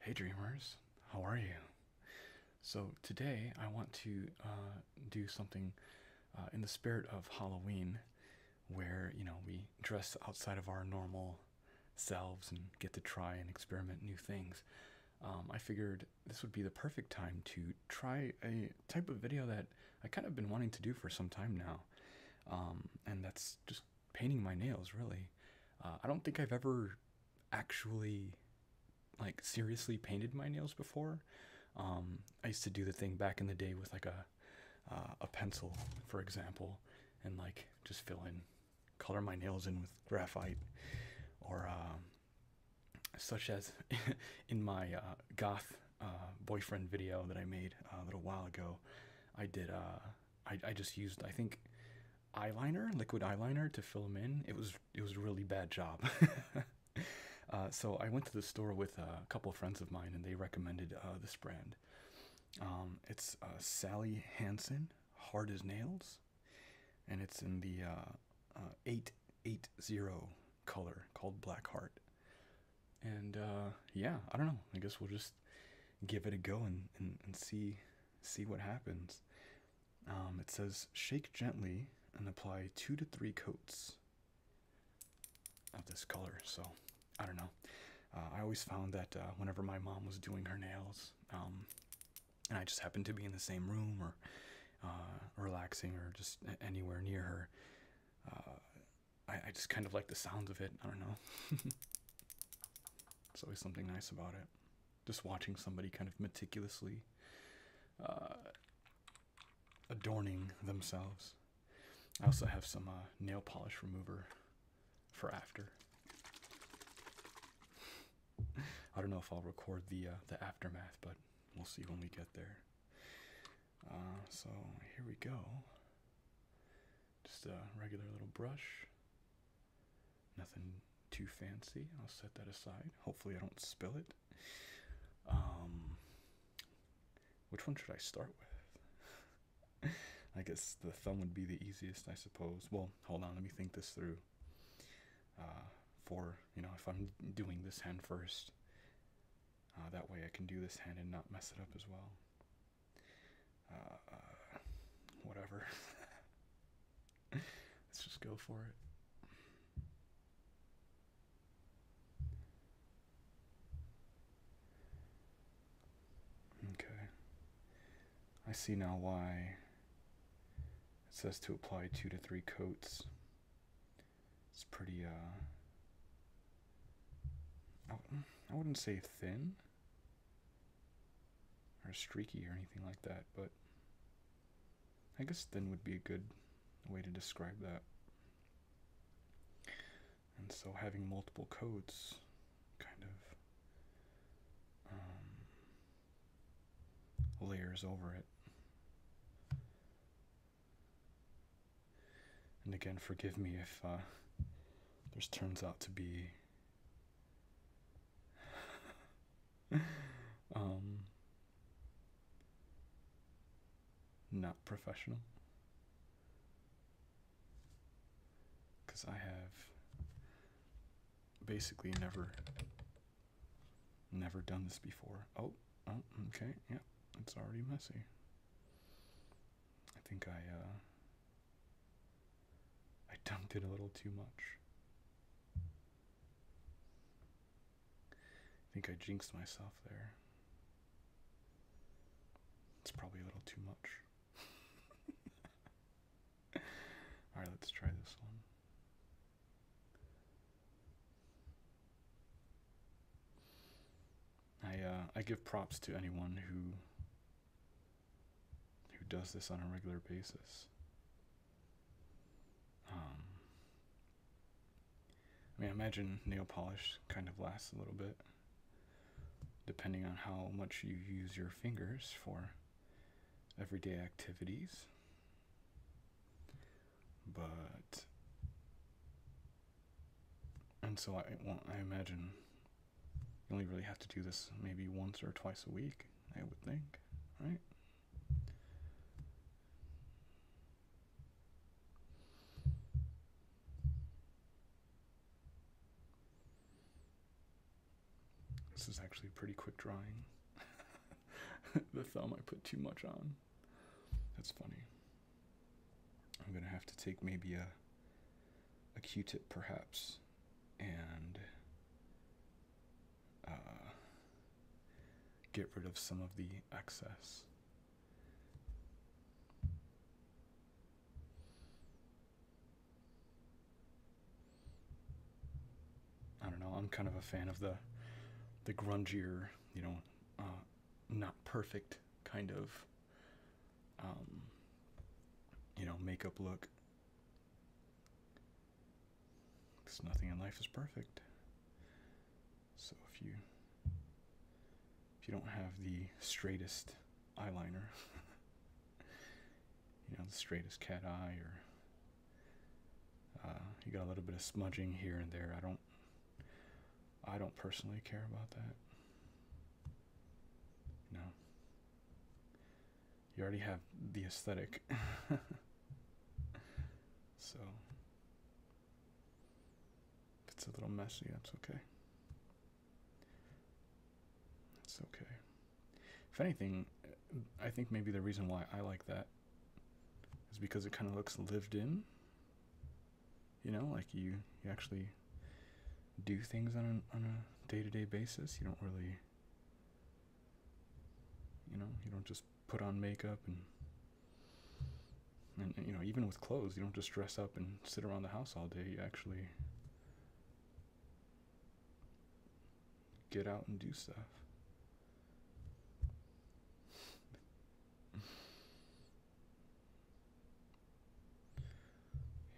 Hey dreamers, how are you? So today I want to uh, do something uh, in the spirit of Halloween, where you know we dress outside of our normal selves and get to try and experiment new things. Um, I figured this would be the perfect time to try a type of video that I kind of been wanting to do for some time now, um, and that's just painting my nails really uh, i don't think i've ever actually like seriously painted my nails before um, i used to do the thing back in the day with like a uh, a pencil for example and like just fill in color my nails in with graphite or um, such as in my uh, goth boyfriend video that i made a little while ago i did uh, I, I just used I think eyeliner, liquid eyeliner to fill them in. It was it was a really bad job. Uh, so I went to the store with a couple of friends of mine, and they recommended uh, this brand. Um, it's uh, Sally Hansen, hard as nails, and it's in the eight eight zero color called Black Heart. And yeah, I don't know. I guess we'll just give it a go and, see see what happens. Um, it says shake gently and apply two to three coats of this color. So I don't know. Uh, I always found that uh, whenever my mom was doing her nails, um, and I just happened to be in the same room or uh, relaxing or just anywhere near her, I just kind of like the sound of it. I don't know. It's always something nice about it. Just watching somebody kind of meticulously uh, adorning themselves. I also have some uh, nail polish remover for after. I don't know if I'll record the uh, the aftermath, but we'll see when we get there. so here we go. Just a regular little brush. Nothing too fancy. I'll set that aside. Hopefully, I don't spill it. Um, which one should I start with? I guess the thumb would be the easiest, I suppose. Well, hold on, let me think this through. Uh, for, you know, if I'm doing this hand first, uh, that way I can do this hand and not mess it up as well. Uh, uh, whatever. Let's just go for it. Okay. I see now why it says to apply two to three coats. It's pretty, uh, I wouldn't say thin, or streaky or anything like that, but I guess thin would be a good way to describe that. And so having multiple coats kind of um, layers over it. And again, forgive me if uh, this turns out to be Um, not professional because I have basically never never done this before. Oh, oh okay, yeah, it's already messy. I think I uh, I dumped it a little too much. I think I jinxed myself there. It's probably a little too much. Alright, let's try this one. I uh, I give props to anyone who who does this on a regular basis. Um, I mean, I imagine nail polish kind of lasts a little bit, depending on how much you use your fingers for everyday activities. But, and so I, well, I imagine you only really have to do this maybe once or twice a week, I would think, right? This is actually pretty quick drawing. the thumb I put too much on. That's funny. I'm gonna have to take maybe a a Q-tip perhaps, and uh, get rid of some of the excess. I don't know. I'm kind of a fan of the the grungier, you know, uh, not perfect kind of um, you know, makeup look. Because nothing in life is perfect. So if you if you don't have the straightest eyeliner, you know, the straightest cat eye, or uh, you got a little bit of smudging here and there. I don't, I don't personally care about that. You you already have the aesthetic. so, if it's a little messy, that's okay. That's okay. If anything, I think maybe the reason why I like that is because it kind of looks lived in. You know, like you you actually do things on a, on a day-to-day basis. You don't really you know, you don't just put on makeup and and you know, even with clothes, you don't just dress up and sit around the house all day. You actually get out and do stuff.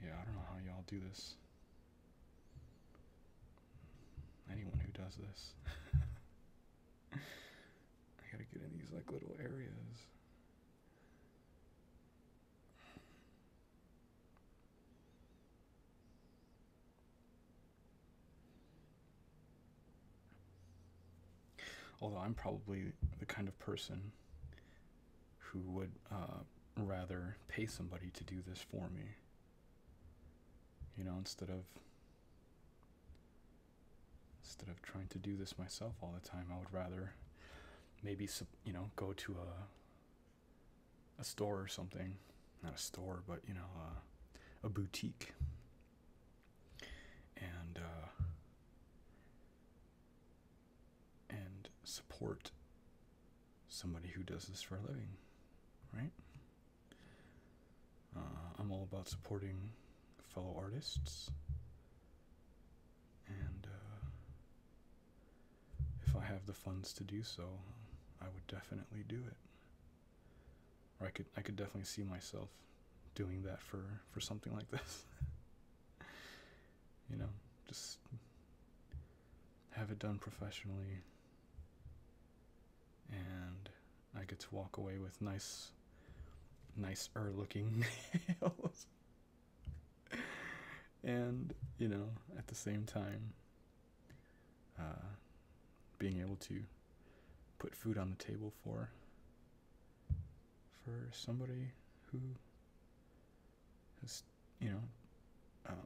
Yeah, I don't know how y'all do this. Anyone who does this. I gotta get in these like little areas. Although I'm probably the kind of person who would uh, rather pay somebody to do this for me. You know, instead of instead of trying to do this myself all the time, I would rather maybe you know go to a a store or something, not a store, but you know uh, a, boutique, and uh, and support somebody who does this for a living, right? Uh, I'm all about supporting fellow artists, and uh, if I have the funds to do so, I would definitely do it. Or I could, I could definitely see myself doing that for for something like this. you know, just have it done professionally. And I get to walk away with nice, nice er looking nails. and, you know, at the same time, uh, being able to put food on the table for for somebody who has, you know, um,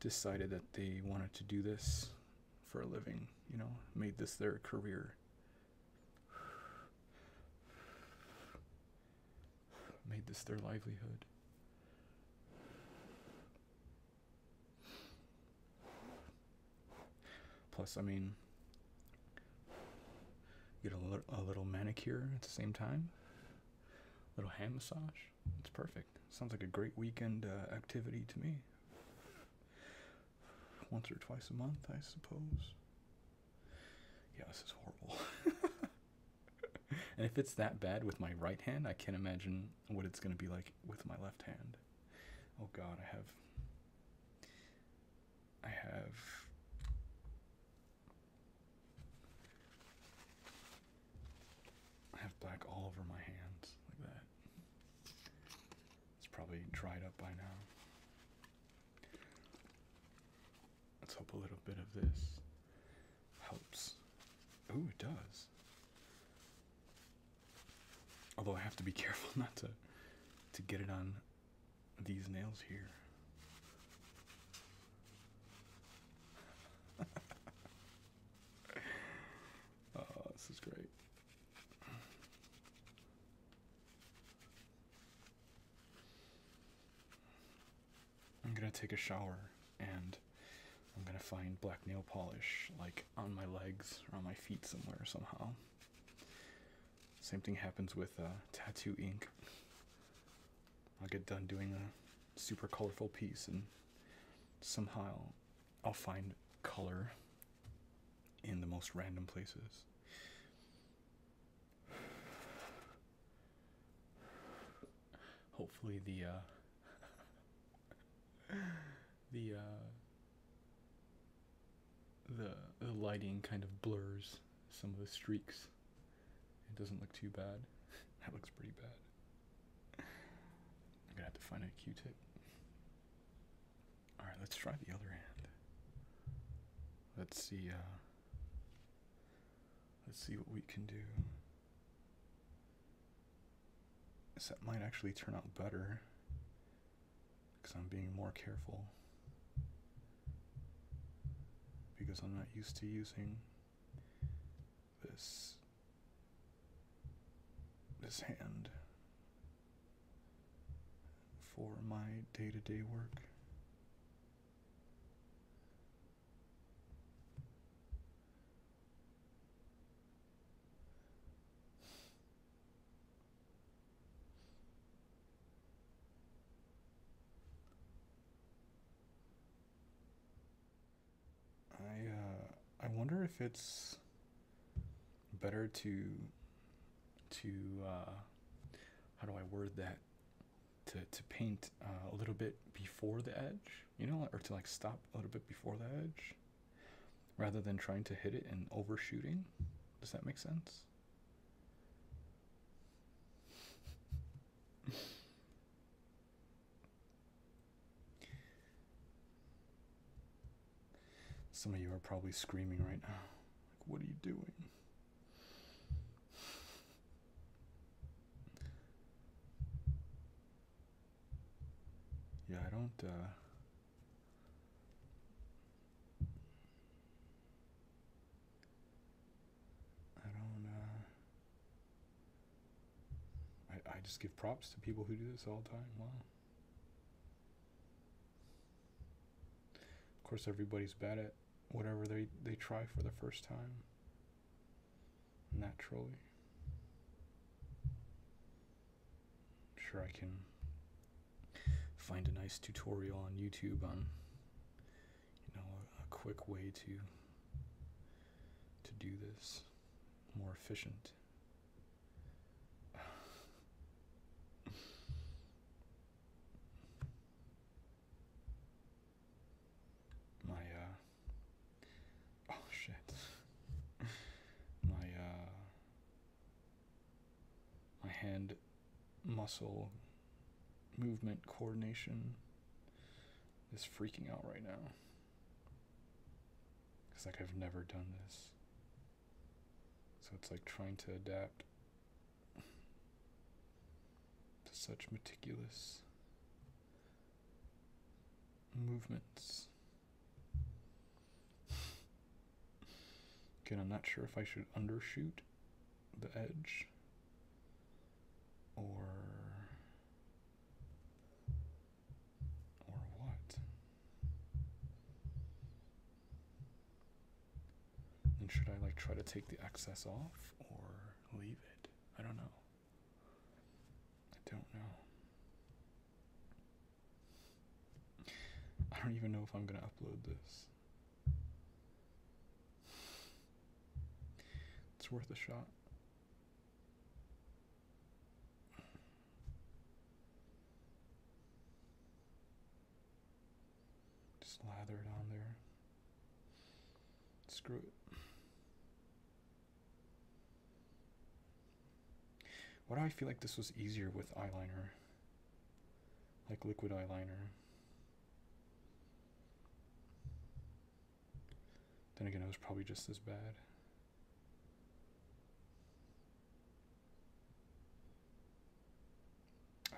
decided that they wanted to do this for a living, you know, made this their career. Made this their livelihood. Plus, I mean, get a little, manicure at the same time, little hand massage. It's perfect. Sounds like a great weekend uh, activity to me. Once or twice a month, I suppose. Yeah, this is horrible. and if it's that bad with my right hand, I can't imagine what it's going to be like with my left hand. Oh god, I have I have I have black all over my hands like that. It's probably dried up by now. Let's hope a little bit of this helps. Oh, it does. Although I have to be careful not to to get it on these nails here. oh, this is great. I'm gonna take a shower and I'm gonna find black nail polish like on my legs or on my feet somewhere somehow. Same thing happens with uh, tattoo ink. I'll get done doing a super colorful piece, and somehow I'll find color in the most random places. Hopefully, the uh, the uh, the the lighting kind of blurs some of the streaks. It doesn't look too bad. that looks pretty bad. I'm gonna have to find a Q-tip. All right, let's try the other hand. Let's see. Uh, let's see what we can do. So that might actually turn out better because I'm being more careful because I'm not used to using this this hand for my day-to-day -day work. I uh, I wonder if it's better to to uh, how do I word that to to paint uh, a little bit before the edge, you know, or to like stop a little bit before the edge rather than trying to hit it and overshooting. Does that make sense? Some of you are probably screaming right now. Like, what are you doing? Yeah, I don't, uh, I don't. Uh, I I just give props to people who do this all the time. Wow. Of course, everybody's bad at whatever they they try for the first time. Naturally. I'm sure I can find a nice tutorial on YouTube on you know a, quick way to to do this more efficient my uh, oh shit my uh, my hand muscle movement coordination is freaking out right now. It's like I've never done this. So it's like trying to adapt to such meticulous movements. Okay, I'm not sure if I should undershoot the edge or or what? And should I like try to take the excess off or leave it? I don't know. I don't know. I don't even know if I'm going to upload this. It's worth a shot. Just lather it on there. Screw it. Why do I feel like this was easier with eyeliner? Like liquid eyeliner. Then again, it was probably just as bad.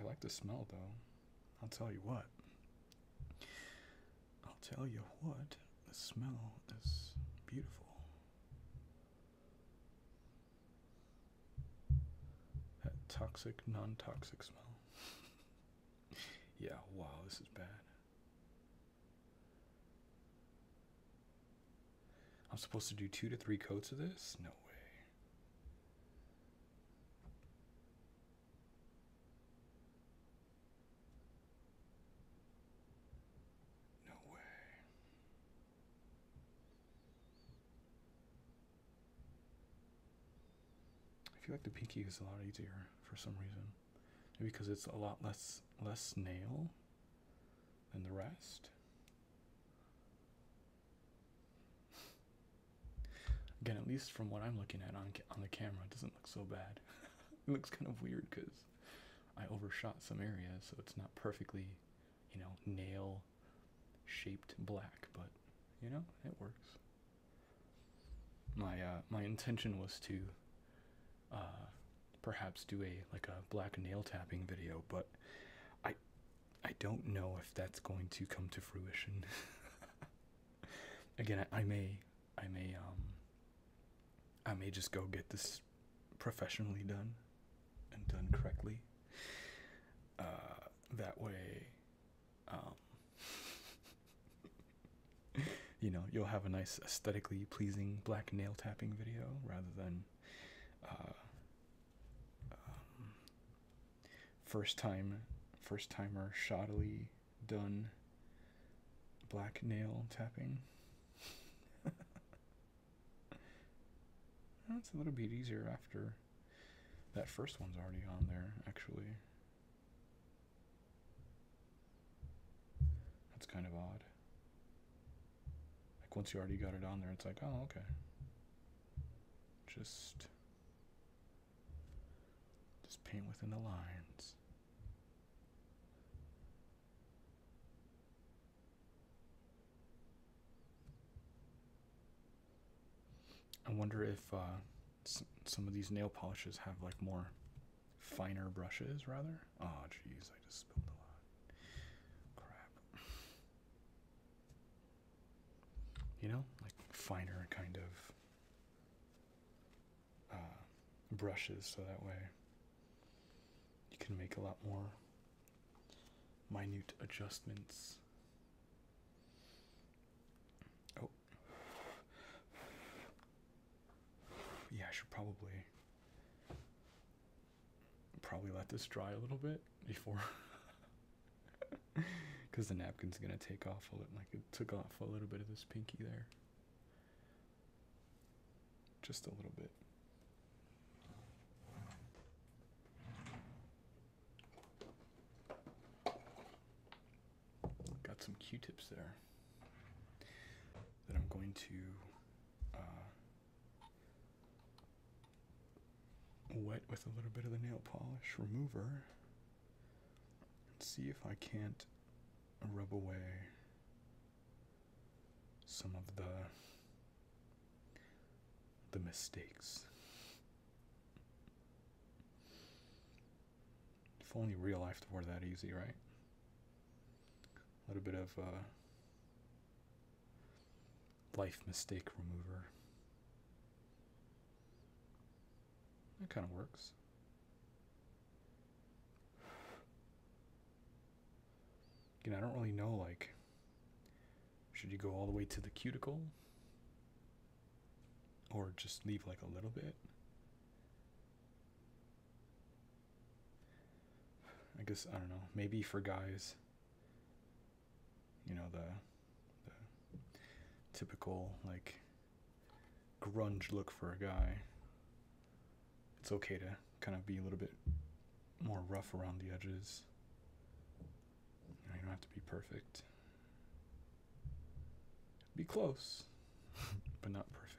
I like the smell though. I'll tell you what. I'll tell you what. The smell is beautiful. That toxic, non toxic smell. yeah, wow, this is bad. I'm supposed to do two to three coats of this? No way. No way. I feel like the pinky is a lot easier for some reason. Maybe because it's a lot less less nail than the rest. Again, at least from what I'm looking at on on the camera, it doesn't look so bad. it looks kind of weird because I overshot some areas, so it's not perfectly, you know, nail shaped black, but you know, it works. My uh, my intention was to uh, perhaps do a like a black nail tapping video, but I I don't know if that's going to come to fruition. Again, I may I may um I may just go get this professionally done and done correctly. Uh, that way, um, you know, you'll have a nice aesthetically pleasing black nail tapping video rather than uh, um, first time, first timer shoddily done black nail tapping. That's a little bit easier after that first one's already on there, actually. That's kind of odd. Like, once you already got it on there, it's like, oh, okay. Just. Just paint within the lines. I wonder if uh, some of these nail polishes have like more finer brushes rather. Oh, jeez, I just spilled a lot. Crap. You know, like finer kind of uh, brushes, so that way you can make a lot more minute adjustments. Oh, yeah, I should probably probably let this dry a little bit before because the napkin's gonna take off a little like it took off a little bit of this pinky there just a little bit. Got some Q-tips there that I'm going to uh, wet with a little bit of the nail polish remover and see if I can't rub away some of the the mistakes. If only real life were that easy, right? A little bit of uh, life mistake remover. That kind of works. You know, I don't really know, like, should you go all the way to the cuticle? Or just leave, like, a little bit? I guess, I don't know, maybe for guys, you know, the typical, like, grunge look for a guy it's okay to kind of be a little bit more rough around the edges. You, don't have to be perfect. Be close, but not perfect.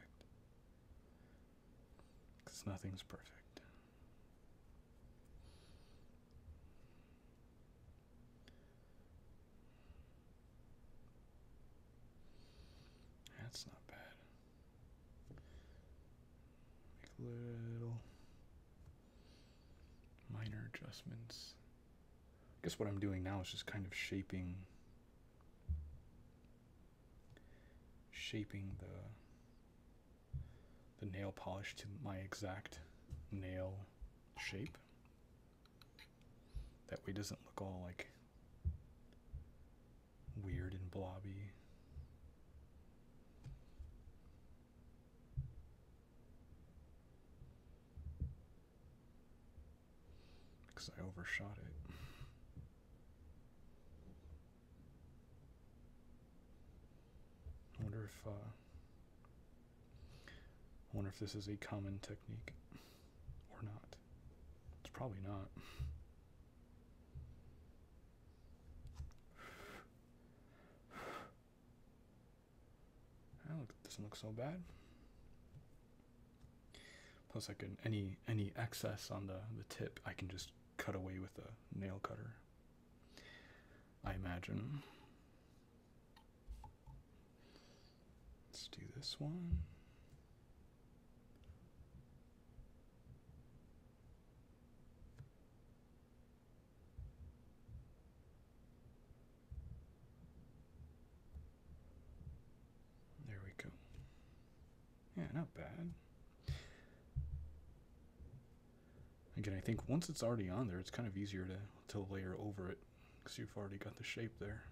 Because nothing's perfect. That's not bad. Make little minor adjustments. I guess what I'm doing now is just kind of shaping shaping the the nail polish to my exact nail shape. That way doesn't look all like weird and blobby. Because I overshot it. I wonder if, uh, I wonder if this is a common technique or not. It's probably not. That doesn't look so bad. Plus, I can any any excess on the the tip, I can just cut away with a nail cutter. I imagine. Let's do this one. There we go. Yeah, not bad. Again, I think once it's already on there, it's kind of easier to, to layer over it because you've already got the shape there.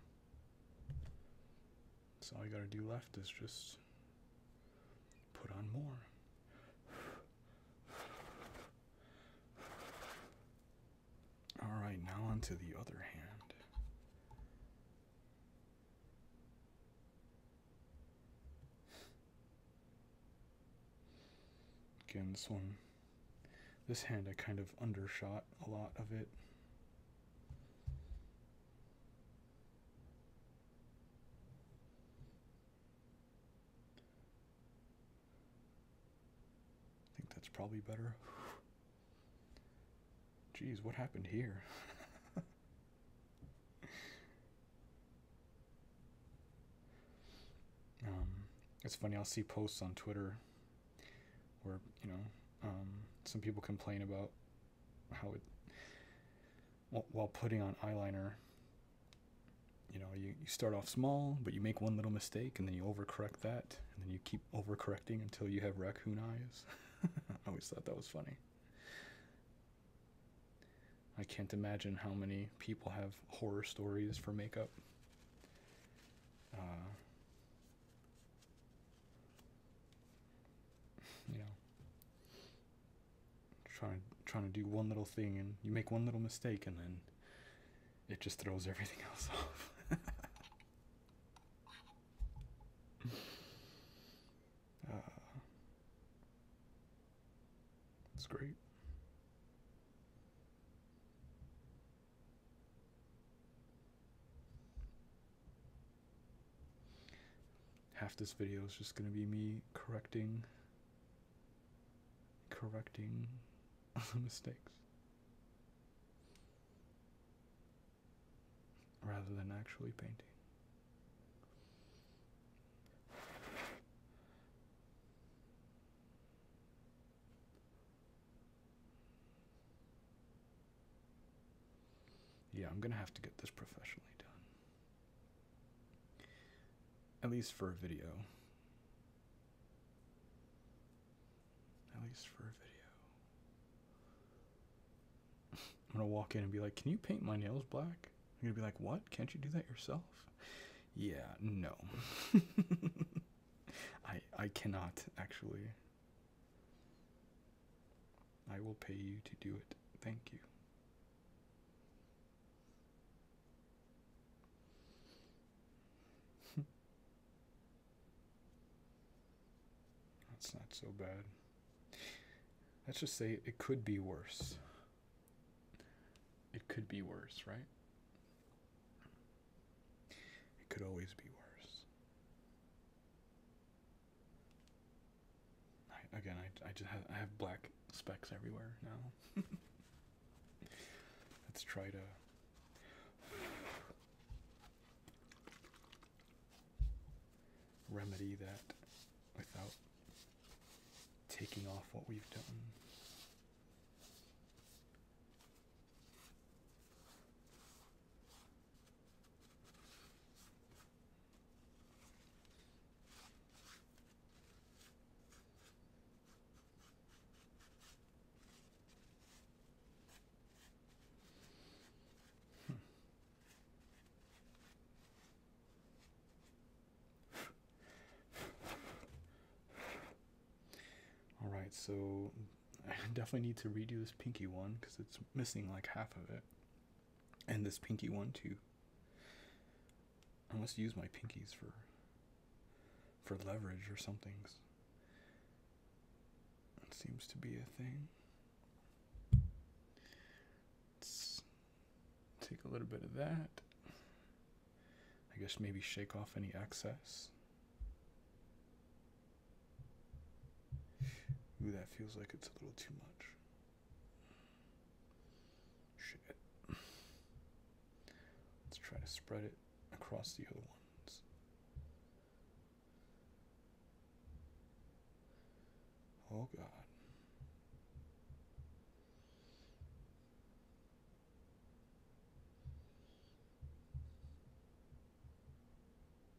So all you gotta do left is just put on more. Alright, now onto the other hand. Again, this one, this hand I kind of undershot a lot of it. I think that's probably better. Geez, what happened here? um, it's funny, I'll see posts on Twitter where, you know, um, some people complain about how it while putting on eyeliner you know you, you start off small but you make one little mistake and then you overcorrect that and then you keep overcorrecting until you have raccoon eyes i always thought that was funny i can't imagine how many people have horror stories for makeup uh, you know trying trying to do one little thing and you make one little mistake and then it just throws everything else off uh, it's great Half this video is just gonna be me correcting correcting mistakes. Rather than actually painting. Yeah, I'm going to have to get this professionally done. At least for a video. At least for a video. I'm going to walk in and be like, Can you paint my nails black? I'm going to be like, What? Can't you do that yourself? Yeah, no. I I cannot actually. I will pay you to do it. Thank you. That's not so bad. Let's just say it could be worse. It could be worse, right? It could always be worse again, I, I just have, I have black specks everywhere now. Let's try to. Remedy that without taking off what we've done. Hmm. All right, so I definitely need to redo this pinky one because it's missing like half of it. And this pinky one too. I must use my pinkies for for leverage or something. It seems to be a thing. Let's take a little bit of that. I guess maybe shake off any excess. Ooh, that feels like it's a little too much. Shit. Let's try to spread it across the other ones. Oh, God.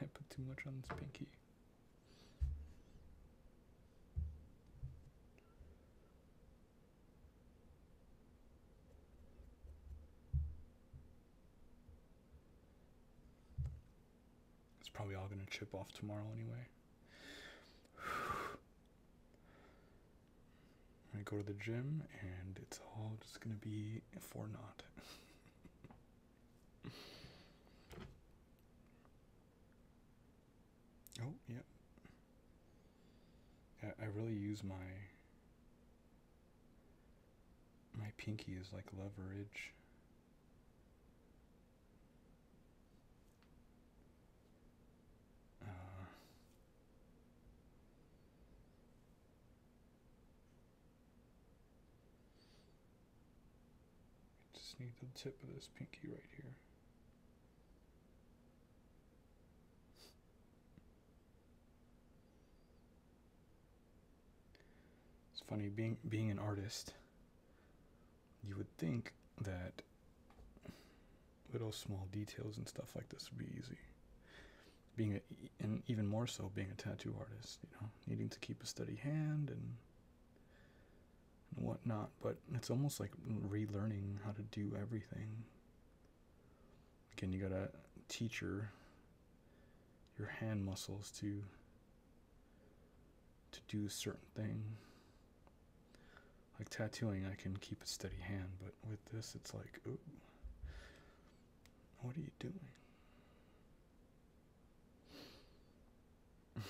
I put too much on this pinky. It's probably all going to chip off tomorrow anyway. I go to the gym and it's all just gonna be for naught. oh yeah. yeah. I really use my my pinky as like leverage. Uh, just need the tip of this pinky right here. It's funny being being an artist. You would think that little small details and stuff like this would be easy. Being a, and even more so being a tattoo artist, you know, needing to keep a steady hand and, and whatnot. But it's almost like relearning how to do everything. Again, you gotta teach your your hand muscles to to do a certain thing like tattooing, I can keep a steady hand, but with this, it's like, ooh, what are you doing?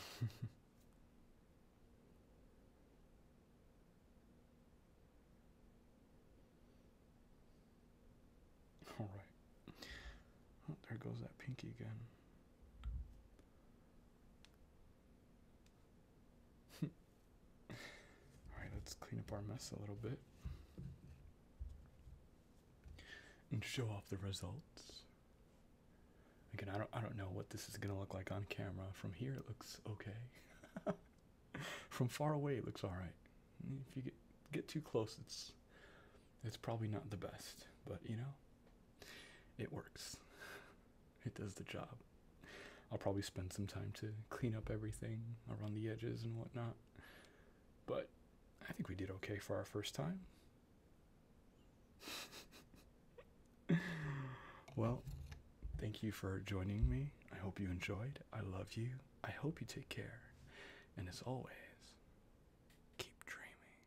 All right. Oh, there goes that pinky again. Alright, let's clean up our mess a little bit and show off the results. Again, I don't I don't know what this is gonna look like on camera. From here it looks okay. From far away it looks alright. If you get too close it's it's probably not the best, but you know, it works. It does the job. I'll probably spend some time to clean up everything around the edges and whatnot. But I think we did okay for our first time. well, thank you for joining me. I hope you enjoyed. I love you. I hope you take care. And as always, keep dreaming.